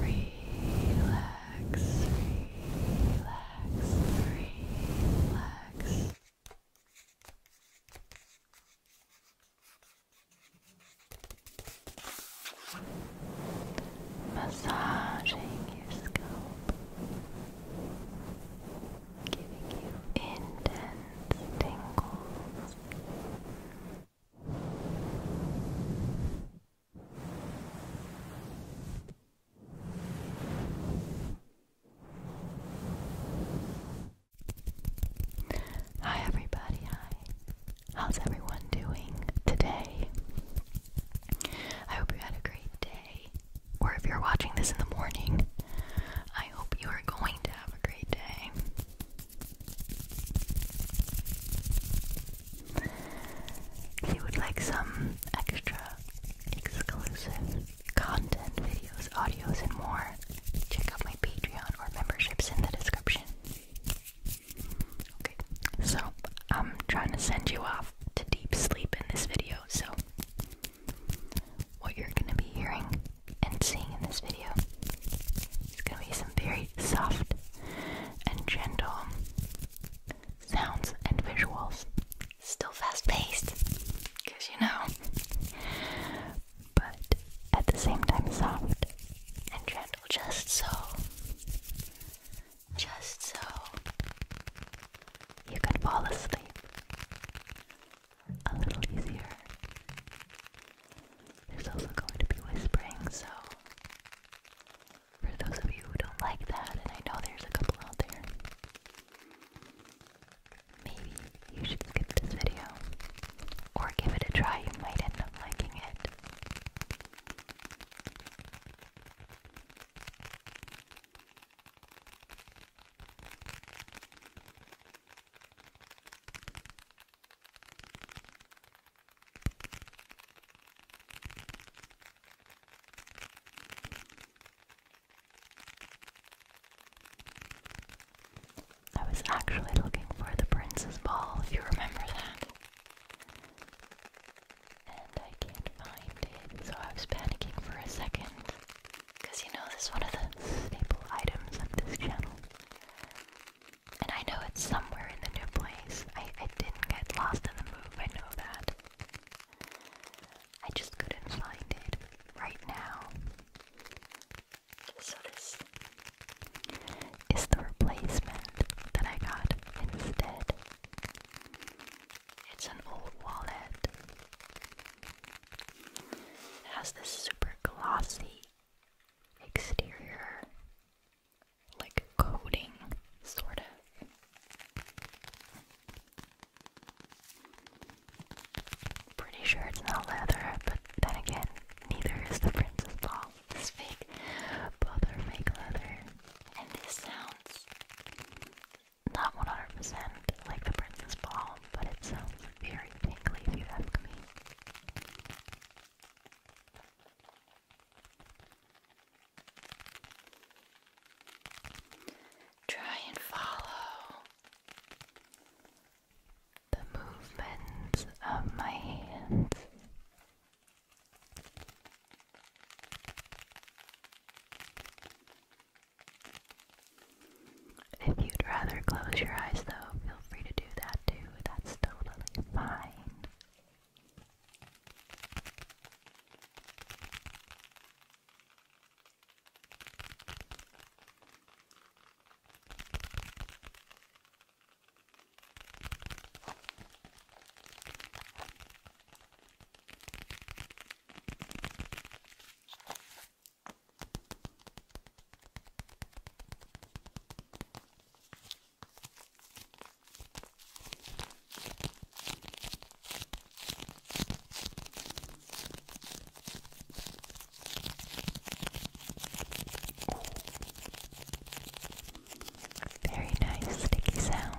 Relax, relax, relax. Massaging your scalp giving you intense tingles. Hi everybody, hi. How's everyone doing today? I hope you had a great day or if you're watching this in the morning, I hope you are going to have a great day. If you would like some extra exclusive content, videos, audios, and more, check out my Patreon or memberships in the description. Okay, so I'm trying to send you off to deep sleep in this video, so what you're going to be hearing and seeing in this video is going to be some very soft and gentle sounds and visuals. Still fast paced, because you know, but at the same time soft and gentle, just so. Just so you can fall asleep a little easier. There's also going to be whispering, so for those of you who don't like that, and I know there's a couple out there, maybe you should skip this video or give it a try. You might end up liking it. I was actually looking for the princess Ball, if you remember that. And I can't find it, so I was panicking for a second. Because you know, this is one of the staple items of this channel. And I know it's somewhere in the new place. I, I didn't get lost in the move, I know that. I just couldn't find it right now. So this is the replacement that I got instead. It's an old wallet. It has this super glossy exterior, like coating, sort of. Pretty sure it's not leather, but then again, neither is the Princess Ball. It's fake. Both fake leather. And this sounds not 100% like the Princess Ball, but it sounds very tingly if you ask me. Try and follow the movements of my hands. If you'd rather close your eyes, though, feel free to do that too. That's totally fine. Very nice sticky sounds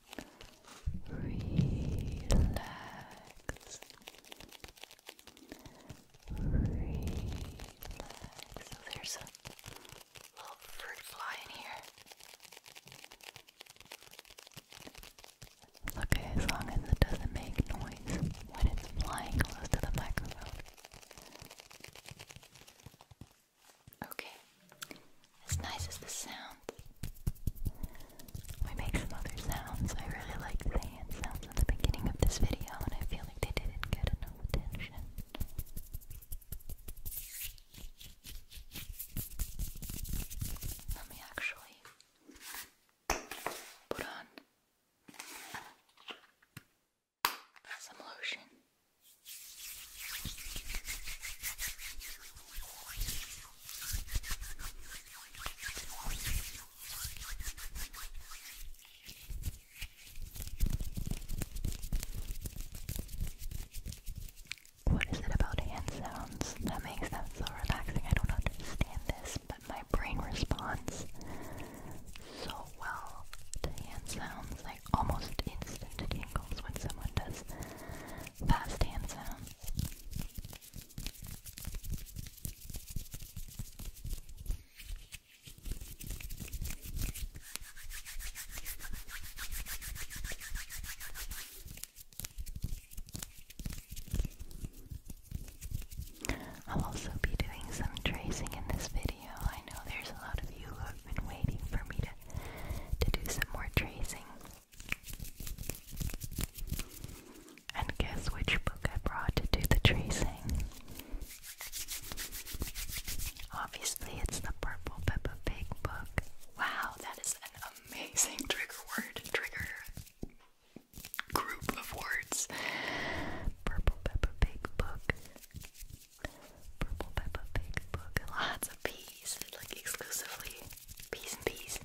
Relax. Relax. So there's a little fruit fly in here. okay as long as it doesn't make noise when it's flying close to the microphone. Okay. As nice as this sounds, we make some other sounds. I really liked the hand sounds at the beginning of this video, and I feel like they didn't get enough attention. Let me actually put on some lotion. What is it about hand sounds that makes them so relaxing? I don't understand this, but my brain responds so well to hand sounds, like almost instant tingles when someone does fast, handsome. I'll also be doing some tracing in this video. I know there's a lot of you who have been waiting for me to to do some more tracing. And guess which book I brought to do the tracing? Obviously, it's the Purple Peppa Pig book. Wow, that is an amazing trigger word, trigger group of words. Purple Peppa Pig book. Purple Peppa Pig book. Lots of P like exclusively peace and peace.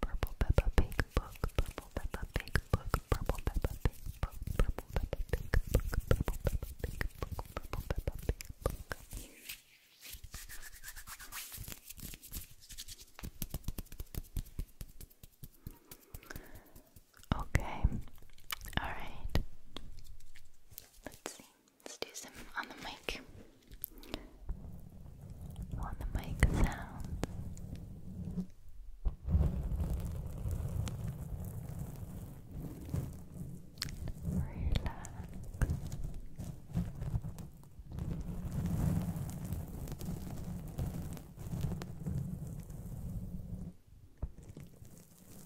Purple Peppa Pig book, Purple Peppa Pig book, Purple Peppa Pig book, Purple Peppa Pig book, Purple Peppa Pig book, Purple Peppa Pig book. Okay, all right. Let's see. Let's do some on the mic. On the mic sound. Relax.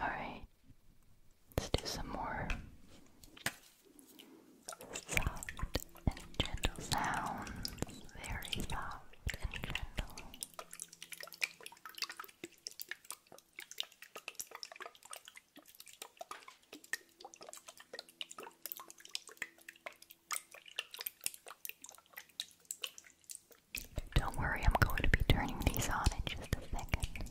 All right, let's do some more soft and gentle sounds, very soft and gentle. Don't worry, I'm going to be turning these on in just a second.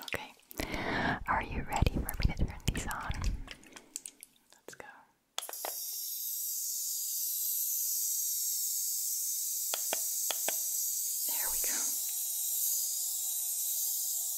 Okay, are you ready for me to turn these on? Let's go. There we go.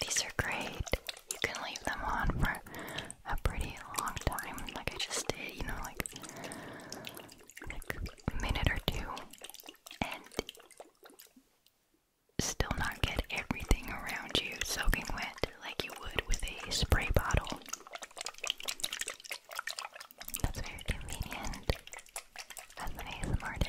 These are great. You can leave them on for a pretty long time, like I just did, you know, like, a minute or two, and still not get everything around you soaking wet like you would with a spray bottle. That's very convenient as an artist.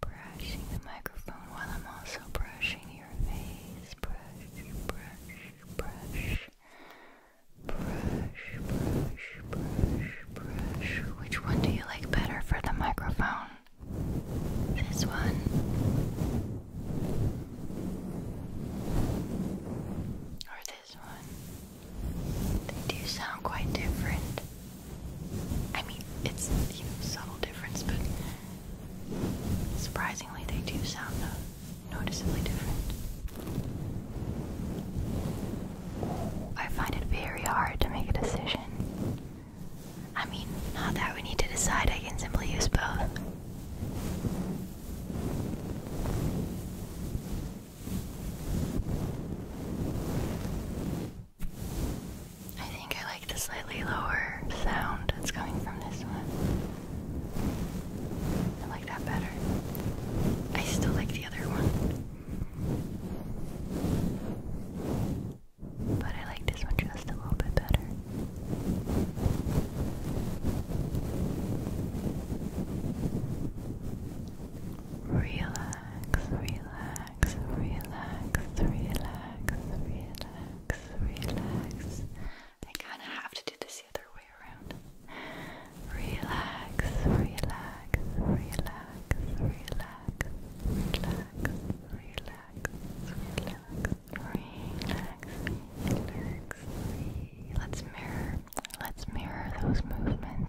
brushing the microphone while I'm also brushing your face. Brush, brush, brush. Brush, brush, brush, brush. Which one do you like better for the microphone? This one? Or this one? They do sound quite different. I mean, it's you know subtle difference, but surprisingly, they do sound uh, noticeably different. I find it very hard to make a decision. I mean, not that we need to decide. I can simply use both. I think I like the slightly lower sound that's coming from this one. I like that better. I still like the other one. But I like this one just a little bit better. Relax, relax relax, relax, relax, relax, relax. I kind of have to do this the other way around. Relax, relax, relax, relax, relax, relax, relax. Relax, relax, relax. Let's mirror, let's mirror those movements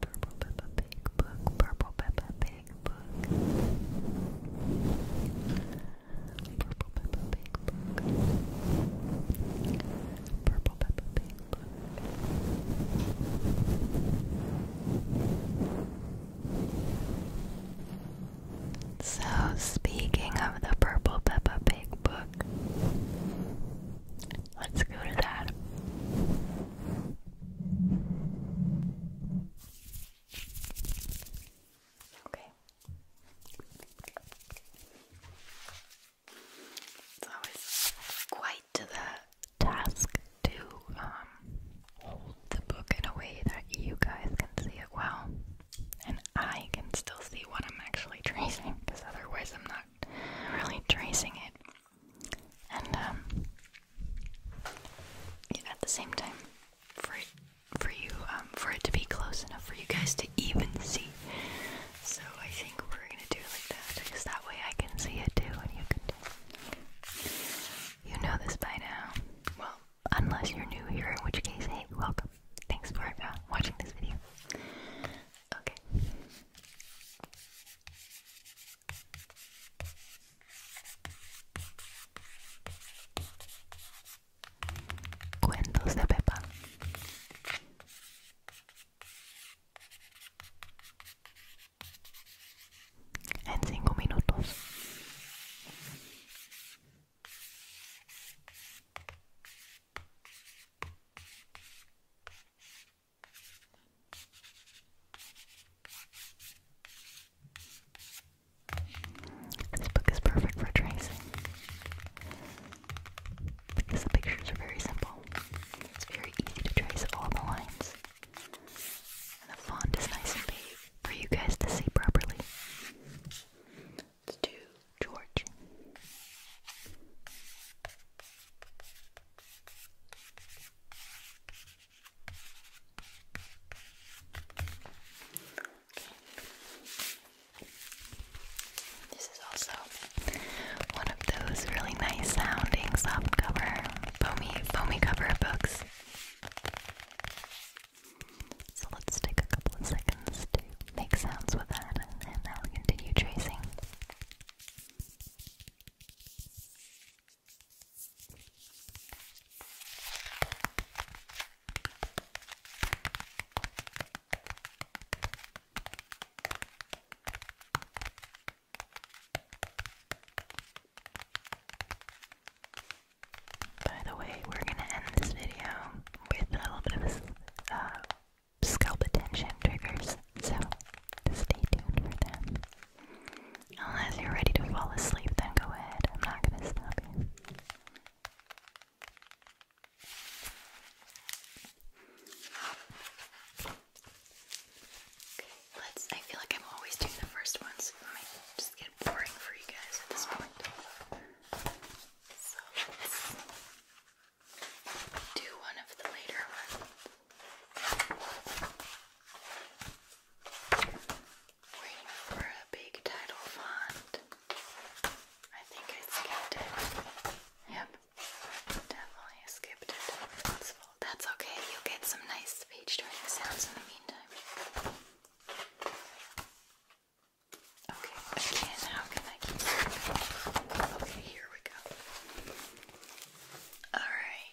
Purple Peppa Pig book, Purple Peppa Pig book. Purple Peppa Pig book. Purple Peppa Pig book. So, speaking of the Purple Peppa Pig book, let's go to that. Okay. It's quite the task to um, hold the book in a way that you guys can see it well, and I can still see what I'm actually tracing, because otherwise I'm not really tracing it and um, at the same time, for for you, um, for it to be close enough for you guys to even see. So I think we're gonna do it like that, because that way I can see it too, and you can You know this by now. Well, unless you're new here, in which case, hey, welcome. Thanks for uh, watching this video. Okay. Cuentos de Pepa. En cinco minutos. This book is perfect for tracing because the pictures are very simple. It's very easy to trace all the lines. And the font is nice and big for you guys to see properly. Let's do George. This is also one of those really nice sounding soft cover, foamy, foamy cover books. So let's take a couple of seconds to make sounds with that and then continue tracing. By the way, we're going to end this video with a little bit of uh, scalp attention triggers. So to stay tuned for that. Unless you're ready to fall asleep, then go ahead. I'm not gonna stop you. Okay, let's. I feel like I'm always doing the first ones. It might just get boring for you guys at this point. So let's do one of the later ones. Waiting for a big title font. I think I skipped it. Yep, definitely skipped it. That's, okay, you'll get some nice page turning sounds in the meantime. Okay, again, how can I Okay, here we go. Alright.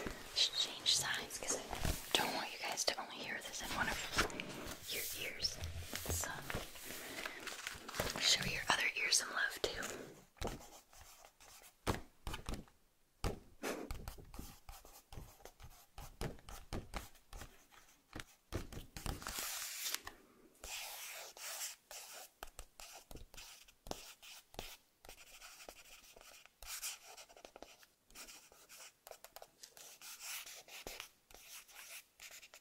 I change sides because I don't want you guys to only hear this in one of your ears. So, show your other ears some love too.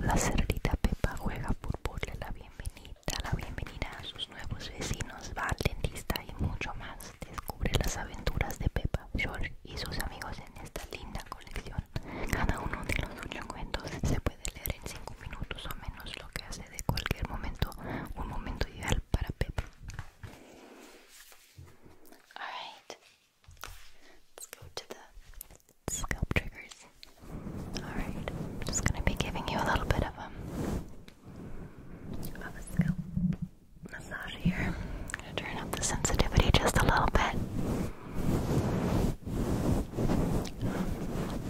La cerdita Pepa juega por le la bienvenida, la bienvenida a sus nuevos vecinos, va al dentista y mucho más. Descubre las aventuras de Pepa, George y sus amigos en esta linda colección. Cada uno de los ocho cuentos se puede leer en cinco minutos o menos, lo que hace de cualquier momento un momento ideal para Peppa Alright. Let's go to the scalp triggers. Alright. I'm just gonna be giving you a little bit of a, um, of a scalp massage here. I'm gonna turn up the sensitivity just a little bit.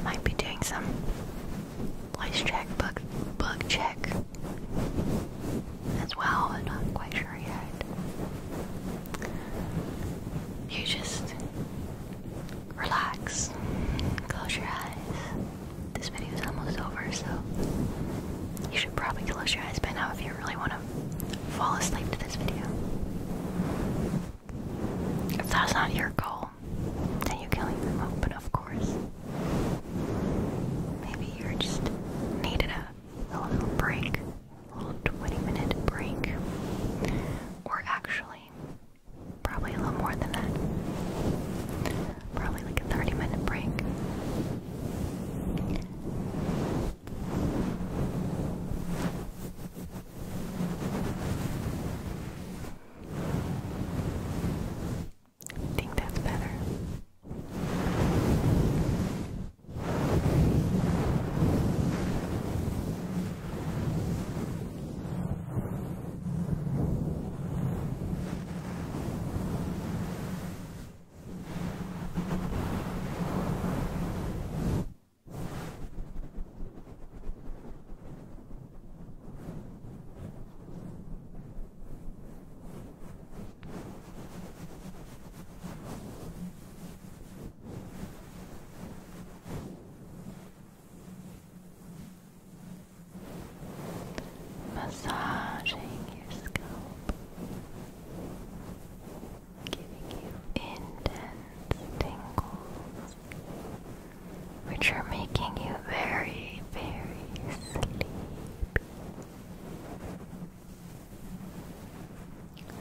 Might be doing some voice check, bug, bug check as well. I'm not quite sure yet. You just relax, close your eyes. This video is almost over, so you should probably close your eyes by now if you really want to fall asleep to this video. If that's not your goal, people you're killing them open, of course. Maybe you just needed a little break, a little 20 minute break. Or actually, probably a little more than that. Probably like a 30 minute break. I think that's better. Massaging your scalp, giving you intense tingles which are making you very, very sleepy.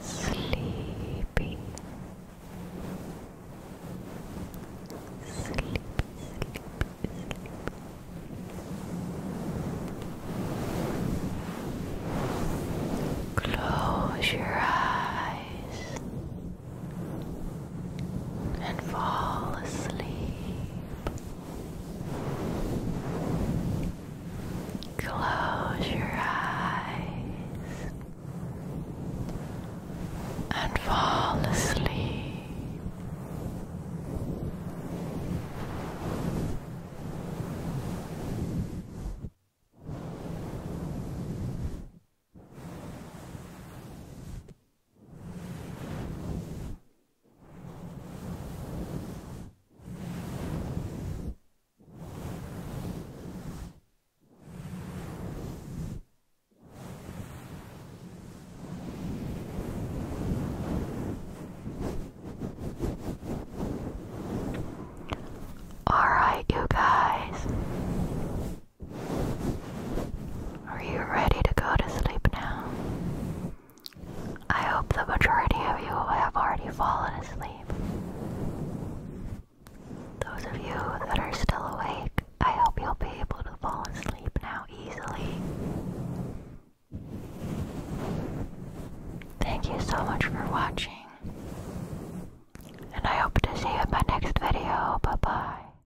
Sleepy. Sleepy, sleepy, sleepy. Close your eyes and fall asleep. Close your eyes and fall asleep. All right, you guys. Are you ready to go to sleep now? I hope the majority of you have already fallen asleep. Those of you that are still awake, I hope you'll be able to fall asleep now easily. Thank you so much for watching. And I hope to see you in my next video. Bye bye.